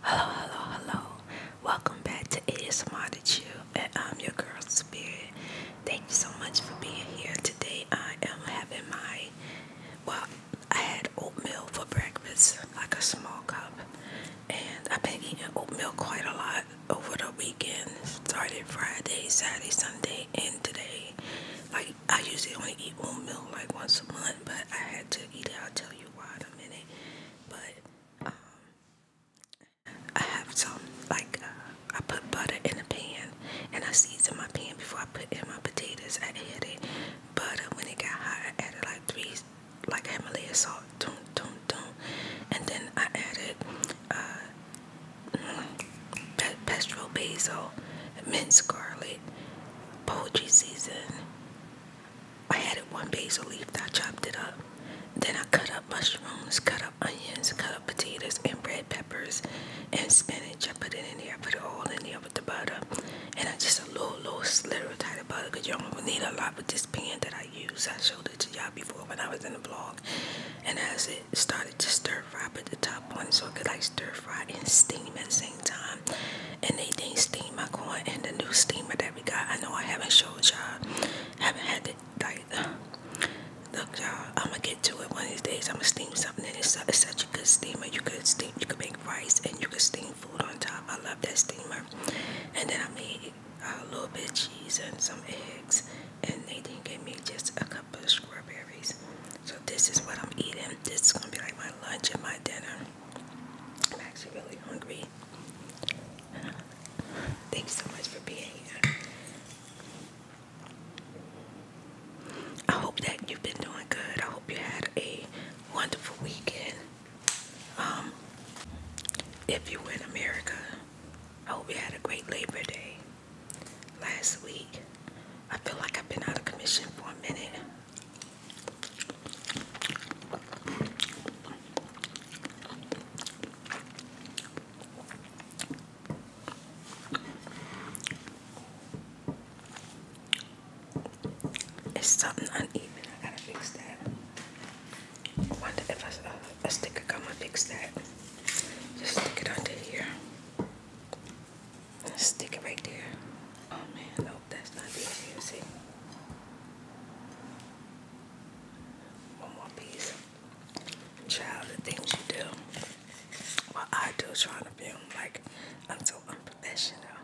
Hello, hello, hello. Welcome back to ASMR to Chill, and I'm um, your girl Spirit. Thank you so much for being here today. I am having my well, I had oatmeal for breakfast, like a small cup, and I've been eating oatmeal quite a lot over the weekend. Started Friday, Saturday, Sunday, and today. Like I usually only eat oatmeal like once a month, but I had to eat it. I'll tell you why in a minute. But um, I have some like uh, I put butter in a pan and I seasoned my pan before I put in my potatoes. I added butter when it got hot. I added like three, like Himalaya salt, and then I added uh, mm, pesto basil, mint scarlet, poultry season. I added one basil leaf that I chopped it up. Then I cut up mushrooms, cut up onions, cut up potatoes and red peppers and spinach. I put it in there. I put it all in there the butter and I just a little little sliver type of butter because you don't need a lot with this pan that I use. I showed it to y'all before when I was in the vlog and as it started to stir fry I put the top on so it could like stir fry and steam at the same time and they didn't steam my corn and the new steamer that we got. I know I haven't showed y'all haven't had it like uh, look y'all I'm gonna get to it one of these days. I'm gonna steam something, and it's, such a good steamer. You can steam, you can make rice, and you can steam food on top. I love that steamer. And then I made a little bit of cheese and some eggs, and Nathan gave me just a couple of strawberries. So this is what I'm eating. This is gonna be like my lunch and my dinner. I'm actually really hungry. Thanks so much for being here. I hope that you've been doing good. I hope you had a wonderful weekend. Um, if you were in America, I hope you had a great Labor Day last week. I feel like I've been out of commission for a minute. It's something uneven. I gotta fix that. I Wonder if a, a, a sticker come and fix that. Just stick it under here. let stick it right there. Oh man, no, that's not easy. You see. One more piece. Child, the things you do what I do trying to film like I'm so unprofessional.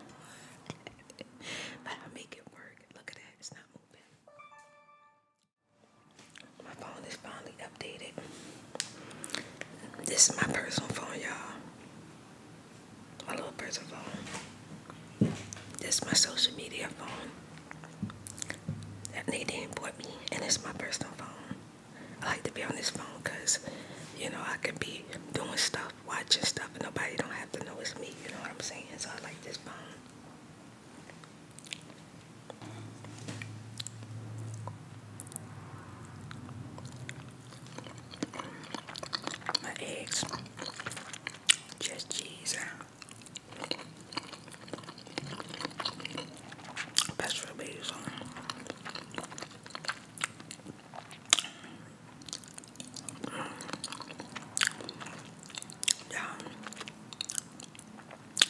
but I make it work. Look at that, it's not moving. My phone is finally updated. This is my personal phone, y'all. My little personal phone. This is my social media phone. That Nadine bought me, and it's my personal phone. I like to be on this phone because, you know, I can be doing stuff, watching stuff, and nobody don't have to know it's me. You know what I'm saying? So I like this phone. My eggs, just cheese. Best for babies yeah.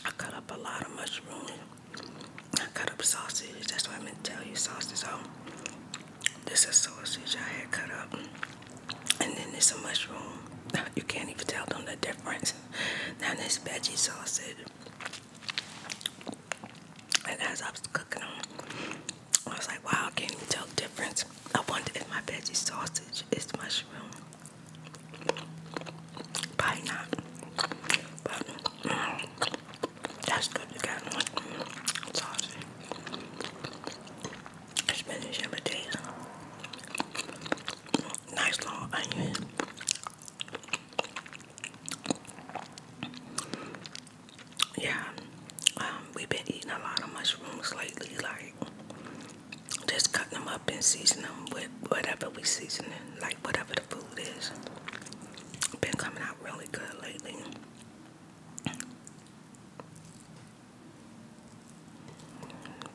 I cut up a lot of mushrooms. I cut up sausage. That's what I am going to tell you. Sausage. So this is sausage I had cut up. And then there's a mushroom. You can't even tell them the difference. Now this veggie sausage. And as I was cooking them, I was like, wow, I can't tell the difference. I wonder if my veggie sausage is mushroom. Probably not. But mm, that's good. You got mushroom sausage. Spinach and potatoes. Nice long onion. Yeah, um, we've been eating a lot of mushrooms lately, like just cutting them up and seasoning them with whatever we season seasoning, like whatever the food is. Been coming out really good lately.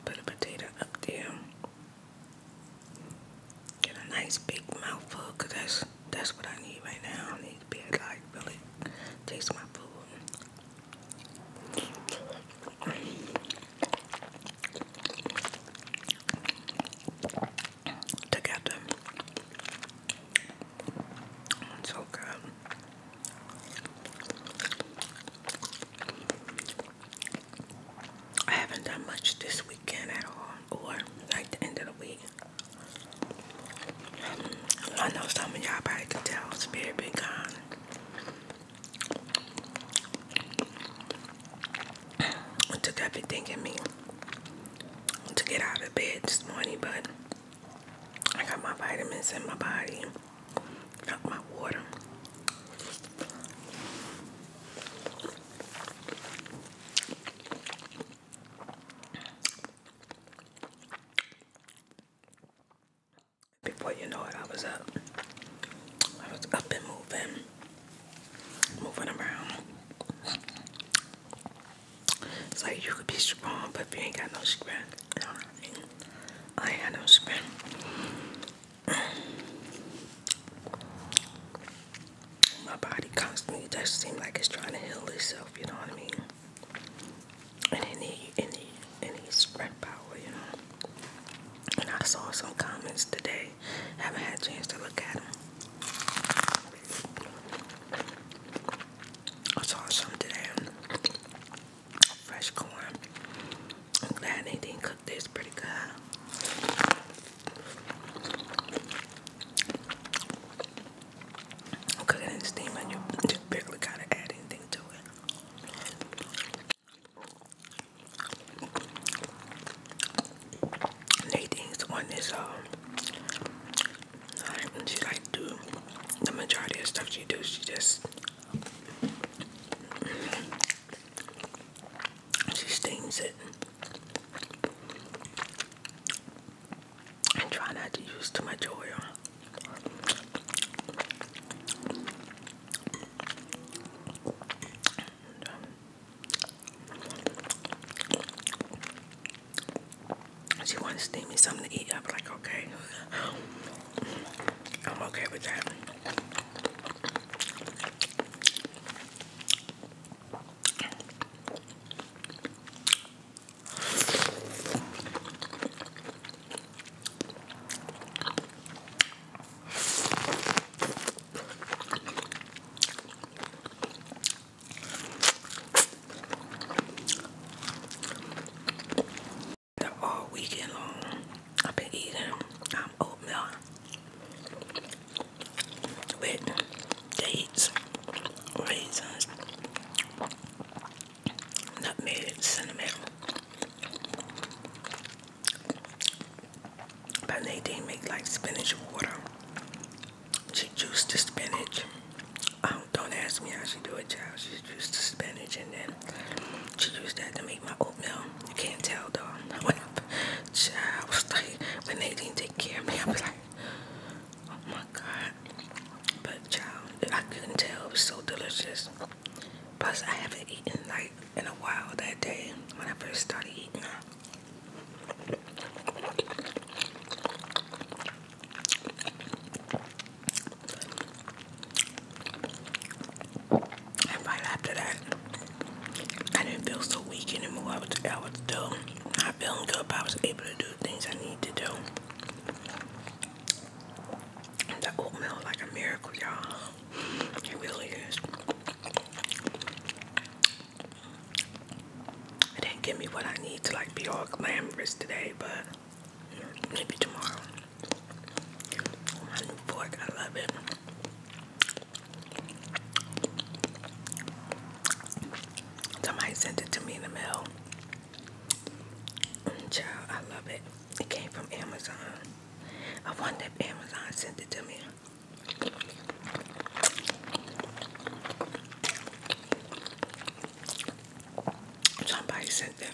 Put a potato up there. Get a nice big mouthful, cause that's that's what I need right now. I need to be able to like really taste my food. Took It's so good. I haven't done much this weekend at all or like the end of the week. I know some of y'all probably can tell Spirit been gone. It took everything in me to get out of bed this morning, but I got my vitamins in my body, got my water. Before you know it, I was up. I was up and moving, moving around. It's like you could be strong, but if you ain't got no strength, I ain't got no strength my body constantly it does seem like it's trying to heal itself, you know what I mean? And it need it need it strength power, you know. And I saw some comments today. Haven't had a chance to look at them. I saw some today. Fresh corn. I'm glad they didn't cook this pretty good. Cooking in steam and you just barely gotta add anything to it. Nadine's the one that's um and she like do the majority of stuff she do, she just she steams it and try not to use too much oil. she wanted to steam me something to eat. I'm like, okay, I'm okay with that. All weekend long, I've been eating um, oatmeal with dates, raisins, nutmeg, cinnamon but Nadine make like spinach water she juiced the spinach um, don't ask me how she do it child she juiced the spinach and then she used that to make my oatmeal you can't tell though when, I, child, was like, when Nadine take care of me I was like Oh my god. But child, I couldn't tell. It was so delicious. Plus, I haven't eaten like in a while that day when I first started eating. And right after that, I didn't feel so weak anymore. I was, I was still, I not feeling good, but I was able to do things I need to do. That oatmeal like a miracle, y'all. It really is. It didn't give me what I need to like be all glamorous today, but maybe tomorrow. Oh, my new fork, I love it. Somebody sent it to me in the mail. I love it. It came from Amazon. I wonder if Amazon sent it to me. Somebody sent it.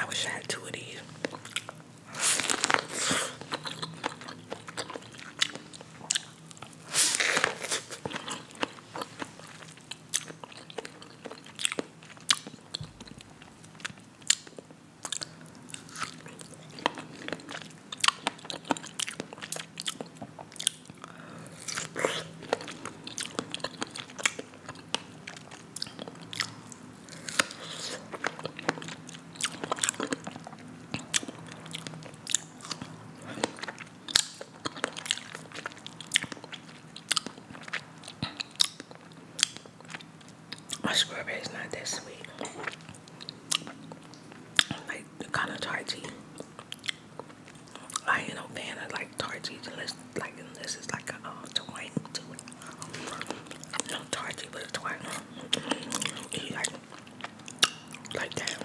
I wish I had two of these. My strawberry is not that sweet. Like kind of tart I ain't no fan of like Tarty unless like unless it's like a uh, um, twine to it. No Tarty but a twine. like that.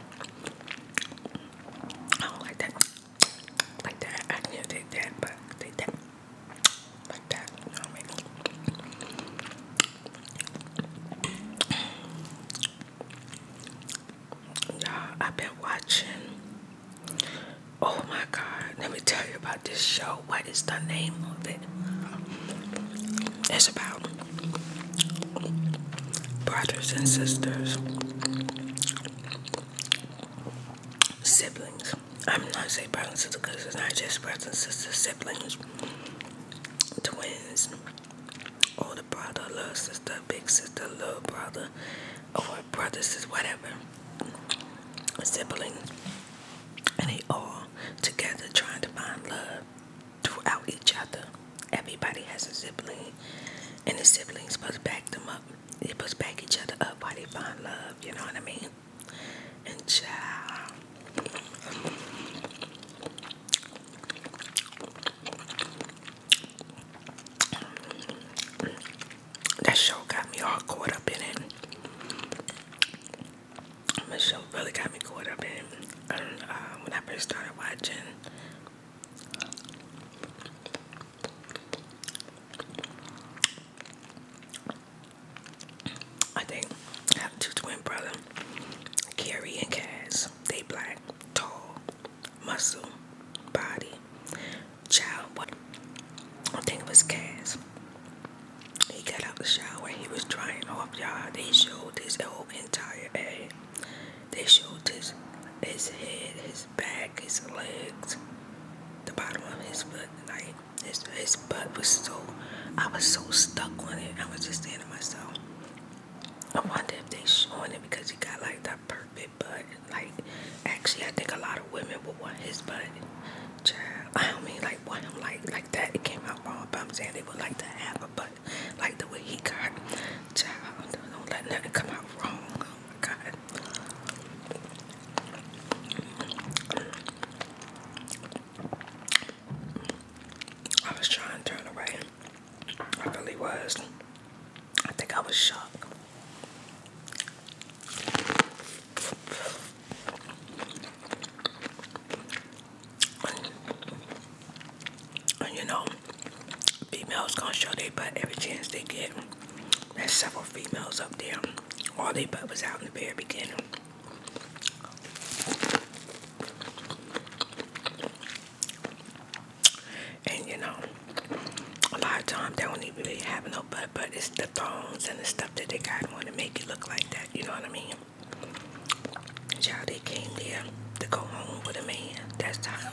I don't like that. Like that. I can take that but take that. Like that. You know what y'all I've been watching oh my god let me tell you about this show what is the name of it it's about brothers and sisters siblings I'm not say brothers and sisters because it's not just brothers and sisters siblings twins or brother, love, sister, big sister, little brother, or brothers, is whatever, Sibling, and they all together trying to find love throughout each other. Everybody has a sibling, and the siblings must back them up. They must back each other up while they find love. You know what I mean? And child. That show got me all caught up in it. That show really got me caught up in it. Uh, when I first started watching, I think I have two twin brothers, Carrie and Cass. They black tall, muscle, body, child. What I think it was Cass. He got out the shower he was drying off, y'all. They showed his whole entire head. They showed his his head, his back, his legs, the bottom of his foot. Like his his butt was so. I was so stuck on it. I was just saying myself, I wonder if they showing it because he got like that perfect it, but like actually I think a lot of women would want his butt. Child. I don't mean like want him like like that. It came out wrong, but I'm saying they would like to have a butt like the way he got. Child, don't let nothing come out wrong. Oh my god. I was trying to turn around. I really was. I think I was shocked. And you know, females gonna show their butt every chance they get. There's several females up there. All they butt was out in the very beginning. And you know, a lot of times they don't even really have no butt, but it's the thongs and the stuff that they got want to make it look like that. You know what I mean? Child, they came there to go home with a man. That's how.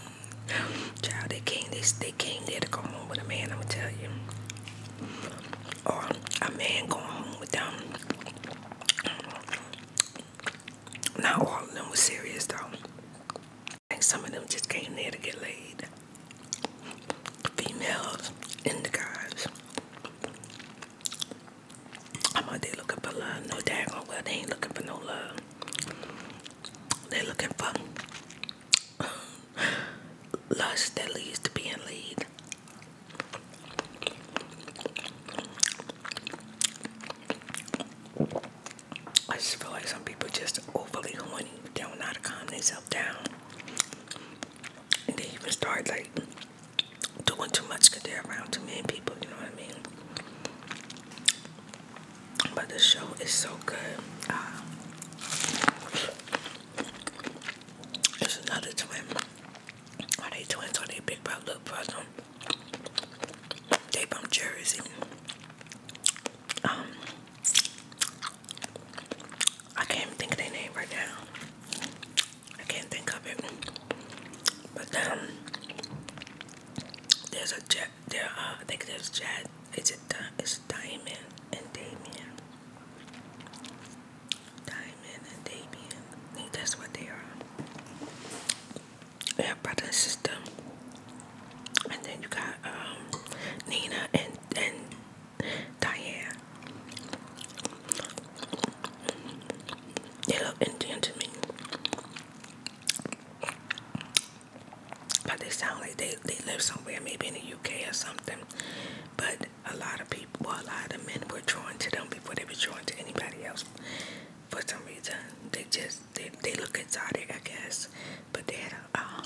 Child, they came. They they came there to go home with a man. I'ma tell you, or a man going home with them. Not all of them was serious though. I think some of them just came there to get laid. Females and the guys. I'm out there looking for love. No they ain't looking for no love. They're looking for lust that leads to being laid. I just feel like some people just overly horny. They don't know how to calm themselves down. And they even start like doing too much because they're around too many people, you know what I mean? But the show is so good. Uh, another twin. Are they twins or they big brother? Look for they from Jersey. Um, I can't think their name right now. I can't think of it. But um, there's a jet. There, uh, I think there's Jad. Is it? It's Diamond and Damien. Diamond and Damien. that's what they are yeah, brother and sister. And then you got um, Nina and and Diane. They look Indian me, but they sound like they they live somewhere, maybe in the UK or something. But a lot of people, well, a lot of men were drawn to them before they were drawn to anybody else. For some reason, they just they, they look exotic, I guess. But they had a um,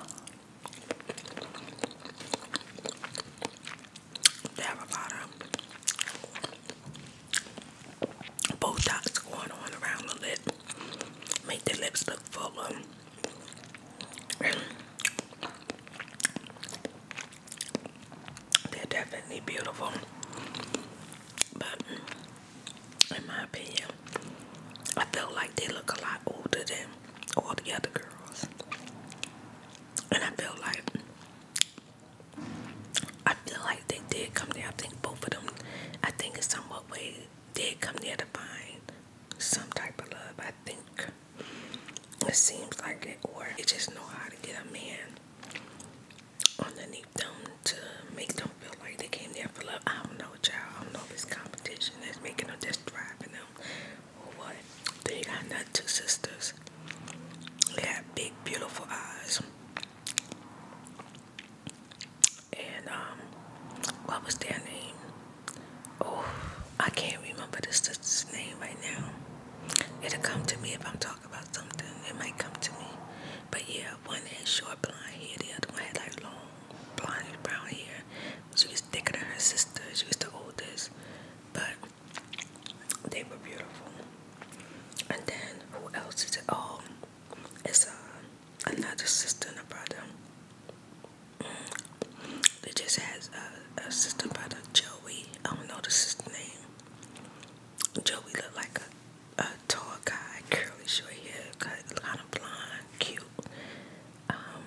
have a lot of Botox going on around the lip, make the lips look fuller. They're definitely beautiful, but in my opinion. I feel like they look a lot older than all the other girls. And I feel like I feel like they did come there. I think both of them I think in somewhat way did come there to find some type of love. I think it seems like it or they just know how to get a man underneath them to make them feel like they came there for love. I don't know, child. I don't know if it's competition that's making them just driving them or what. They got not two sisters. They have big, beautiful eyes. And um, what was their name? Oh, I can't remember the sister's name right now. It'll come to me if I'm talking about something. It might come to me. But yeah, one had short blonde hair, the other one had like long blonde brown hair. She was thicker than her sister. She was the oldest, but they were beautiful. And then who else is it? Oh, it's uh, another sister and a brother. Mm. They just has a, a sister brother, Joey. I don't know the sister's name. Joey look like a a tall guy, curly short hair, cut, kind of blonde, cute. Um,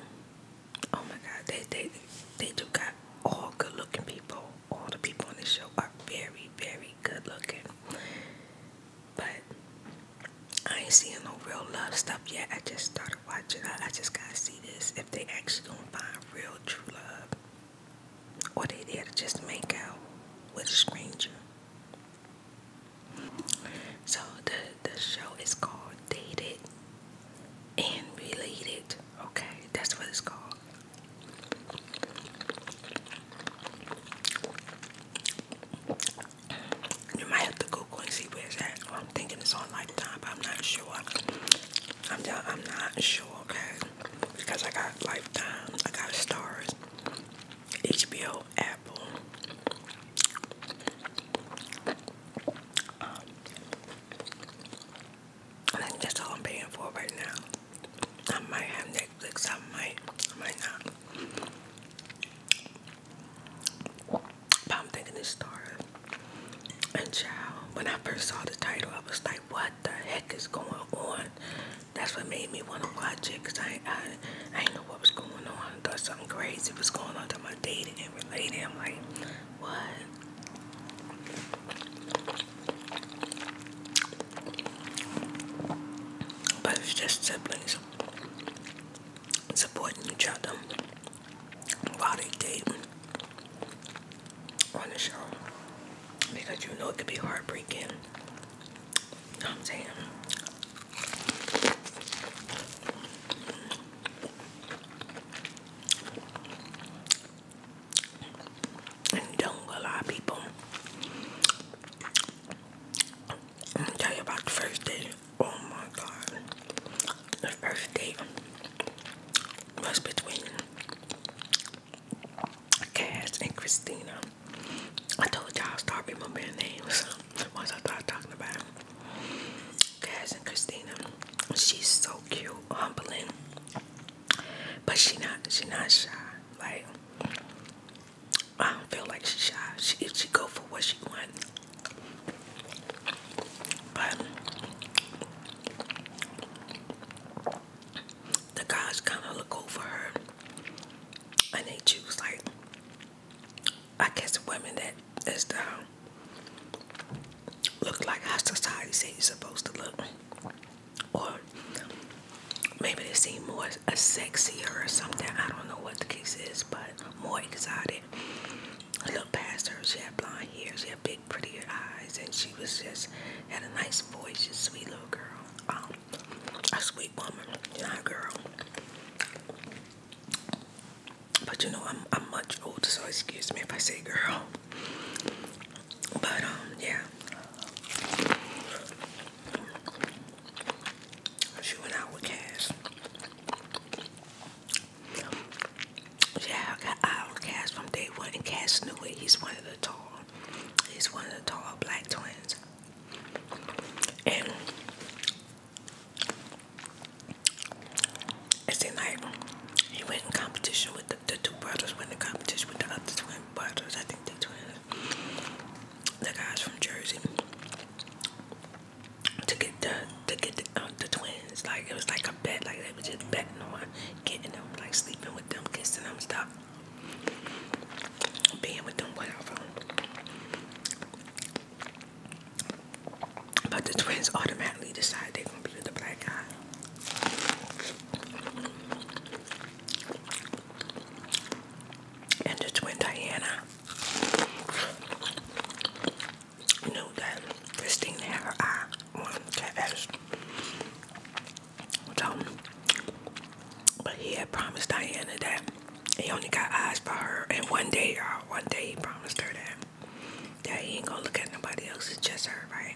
oh my God, they they they do got all good looking people. All the people on the show are very very good looking, but I ain't seeing no real love stuff yet. I just started watching. I just gotta see this if they actually gonna find real true love, or they there to just make out with a stranger. So the the show is called Dated and Related. Okay, that's what it's called. You might have to Google and see where it's at. I'm thinking it's on Lifetime, but I'm not sure. I'm not sure, okay? Because I got Lifetime, um, I got Stars, HBO, Apple, um, I all I'm paying for right now. I might have Netflix, I might, I might not. But I'm thinking it's Star and Child. When I first saw the title, I was like, what the heck is going on? that's what made me want to watch it because I, I I didn't know what was going on. I thought something crazy was going on to my dating and relating. I'm like, what? But it's just siblings supporting each other while they date on the show because you know it could be heartbreaking I'm oh, saying. don't a people. I'm gonna tell you about the first Oh my god. The first was between Cass and Christina. I told y'all I'll start remembering names once I start talking about them. Cass and Christina. She's so cute, humbling. But she's not she's not shy. Like I don't feel like she's shy. She if she go for what she wants, But the guys kinda look over her and they choose like I guess women that is the um, look like how society say you supposed to look, or maybe they seem more a sexier or something. I don't know what the case is, but more exotic. I looked past her. She had blonde hair. She had big, prettier eyes, and she was just had a nice voice. She's a sweet little girl. Um, a sweet woman, not girl. But you know, I'm I'm much older, so excuse me if I say girl. But um, yeah. She went out with Cass. Yeah, I got out with Cass from day one, and Cass knew it. He's one of the tall. He's one of the tall black twins and it's seemed like he went in competition with the, two brothers went in competition with the other twin brothers. I think they twins, the guys from Jersey, to get the to get the um, twins. Like it was like a bet. Like they were just betting on getting them, like sleeping with them, kissing them, stuff being with them, whatever. But the twins automatically decide they're gonna be with the black guy. And the twin Diana knew that Christina had her eye on Tevez. So, but he had promised Diana that he only got eyes for her. And one day, y'all, one day he promised her that. That he ain't gonna look at nobody else, it's just her, right?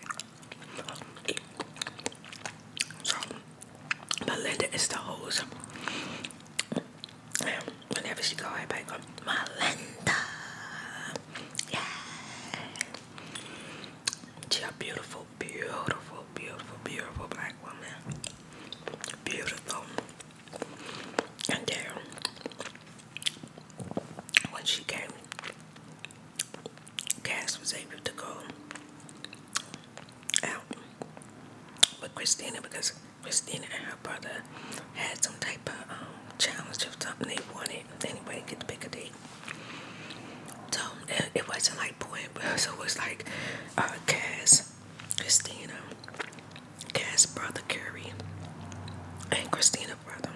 So, Melinda is the host. And whenever she go, everybody go, Melinda! Yeah! She a beautiful beautiful, beautiful, beautiful, black woman. Beautiful. And then when she came, Cass was able to go out with Christina because Christina and her brother had some type of um, challenge of something they wanted. Anyway, get to pick a date. So it, wasn't like point, but so it was like uh, Cass Christina, Cass brother Curry, and Christina brother.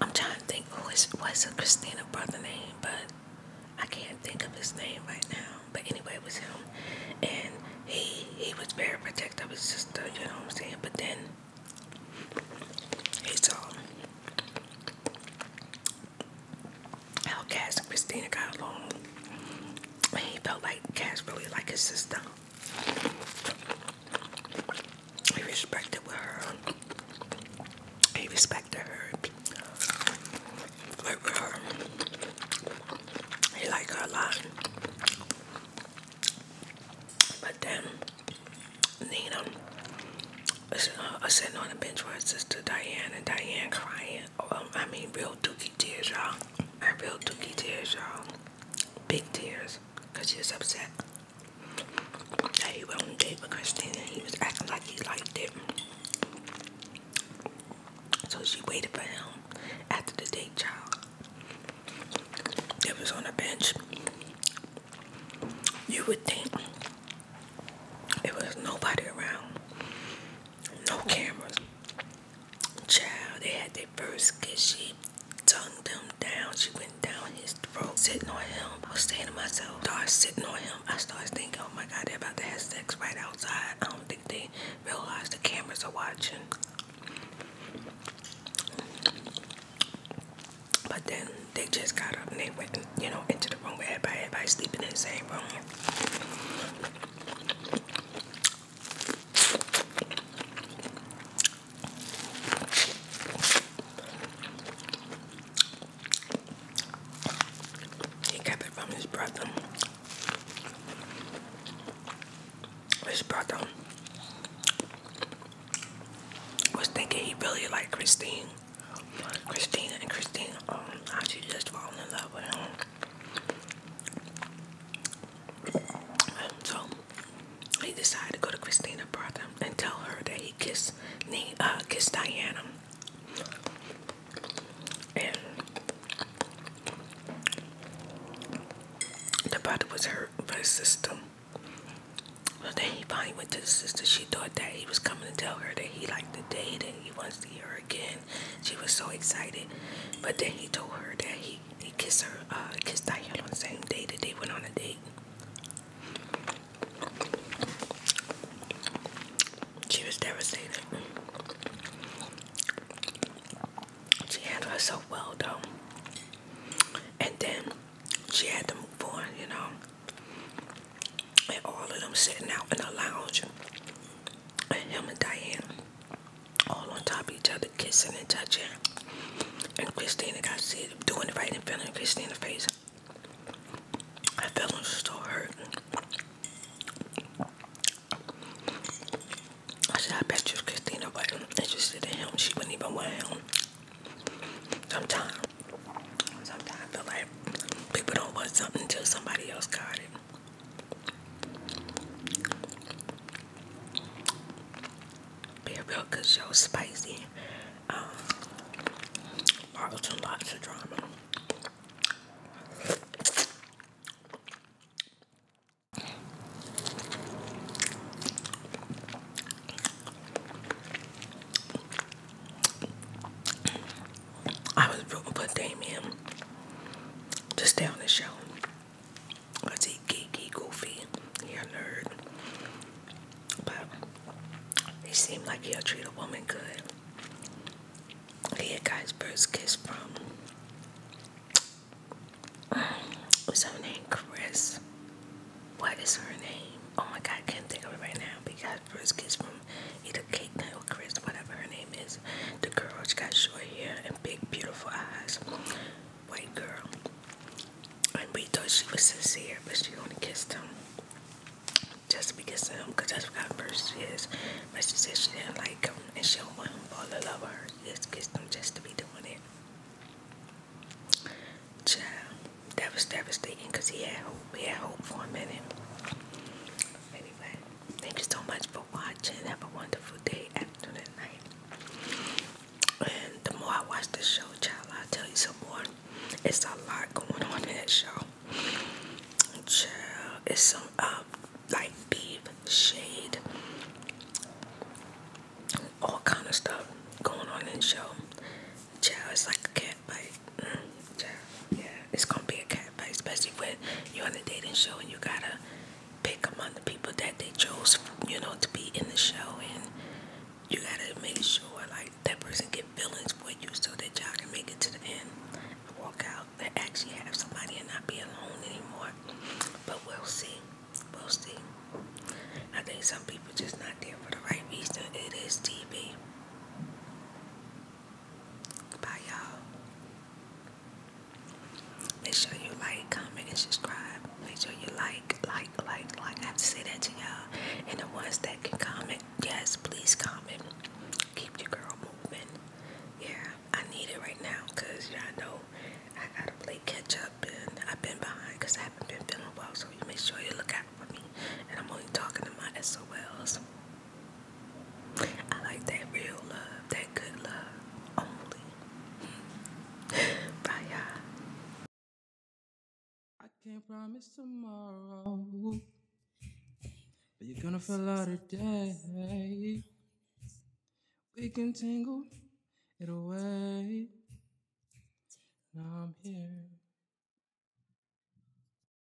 I'm trying to think who is was a Christina brother name, but I can't think of his name right now. But anyway, it was him, and he he was very protective of his sister. You know what I'm saying? But then he saw um, how Cass and Christina got along. And he felt like Cass really liked his sister. He respected her. He respected her. Like her. He liked her a lot. But then Nina was uh, sitting on the bench with her sister Diane and Diane crying. Um, I mean real dookie tears, y'all. I real dookie tears, y'all. Big tears. Cause she was upset that he went on date with Christina he was acting like he liked it. So she waited for him after the date, child. It was on a bench. You would think it was nobody around. No cameras. Child, they had their first kiss. She tongued him down. She went down his throat, sitting on him. I was saying to myself, started sitting on him. I started thinking, oh my God, they're about to have sex right outside. I don't think they realize the cameras are watching. But then they just got up and they went, you know, into the room where everybody, everybody sleeping in the same room. He kept it from his brother. His brother was thinking he really liked Christine. Christina and Christina, um, actually just falling in love with him. So he decided to go to Christina's brother and tell her that he kissed uh, kissed Diana. And the brother was hurt by his sister. So then he finally went to the sister. She thought that he was coming to tell her that he liked the date and he wants to hear she was so excited. But then he told her that he, he kissed her, uh, kissed Diane on the same day that they went on a date. She was devastated. She handled herself well though. And then she had to move on, you know and all of them sitting out in the lounge, and him and Diane all on top of each other, kissing and touching. And Christina got see doing it right in front of Christina's face. I felt so hurt. I said, I bet you Christina wasn't interested in him. She wouldn't even want him. Sometimes, sometimes I feel like People don't want something until somebody else got it. Be real good spicy. Um, and lots of drama. I was rooting for Damien to stay on the show. Cause he geeky, goofy, he a nerd. But he seemed like he'll treat a woman good. He had got first kiss from um, was her name Chris? What is her name? Oh my god, I can't think of it right now. But he got first kiss from either Kate or Chris, whatever her name is. The girl, she got short hair and big beautiful eyes. White girl. And we thought she was sincere, but she only kissed him. Just because of him, because that's what kind of is. But she said she didn't like him and she don't want him to the love with her. just kissed him just to be doing it. Child, that was devastating because he had hope. He had hope for a minute. Anyway, thank you so much for watching. Have a wonderful day, afternoon, night. And the more I watch this show, child, i tell you some more. It's a lot going on in that show. Child, it's some um, like beef, shade, all kind of stuff going on in show. Child, it's like a cat cat fight. Mm, yeah, it's gonna be a cat fight, especially when you're on a dating show and you gotta pick among the people that they chose, you know, to be in the show, and you gotta make sure like that person get feelings for you so that y'all can make it to the end, walk out, and actually have somebody and not be alone anymore. But we'll see, we'll see. I think some people just not there for the right reason. It is TV. Bye, y'all. Make sure you like, comment, and subscribe. Make sure you like, like, like, like. I have to say that to y'all. And the ones that can comment, yes, please comment. Keep your girl moving. Yeah, I need it right now because y'all know I gotta play catch up and I've been behind because I haven't been feeling well. So you make sure you look out for me. And I'm only talking to my SOLs. I like that real love, that good love only. Bye, y'all. I can't promise tomorrow, but you're gonna feel out today. We can tangle it away. Now I'm here.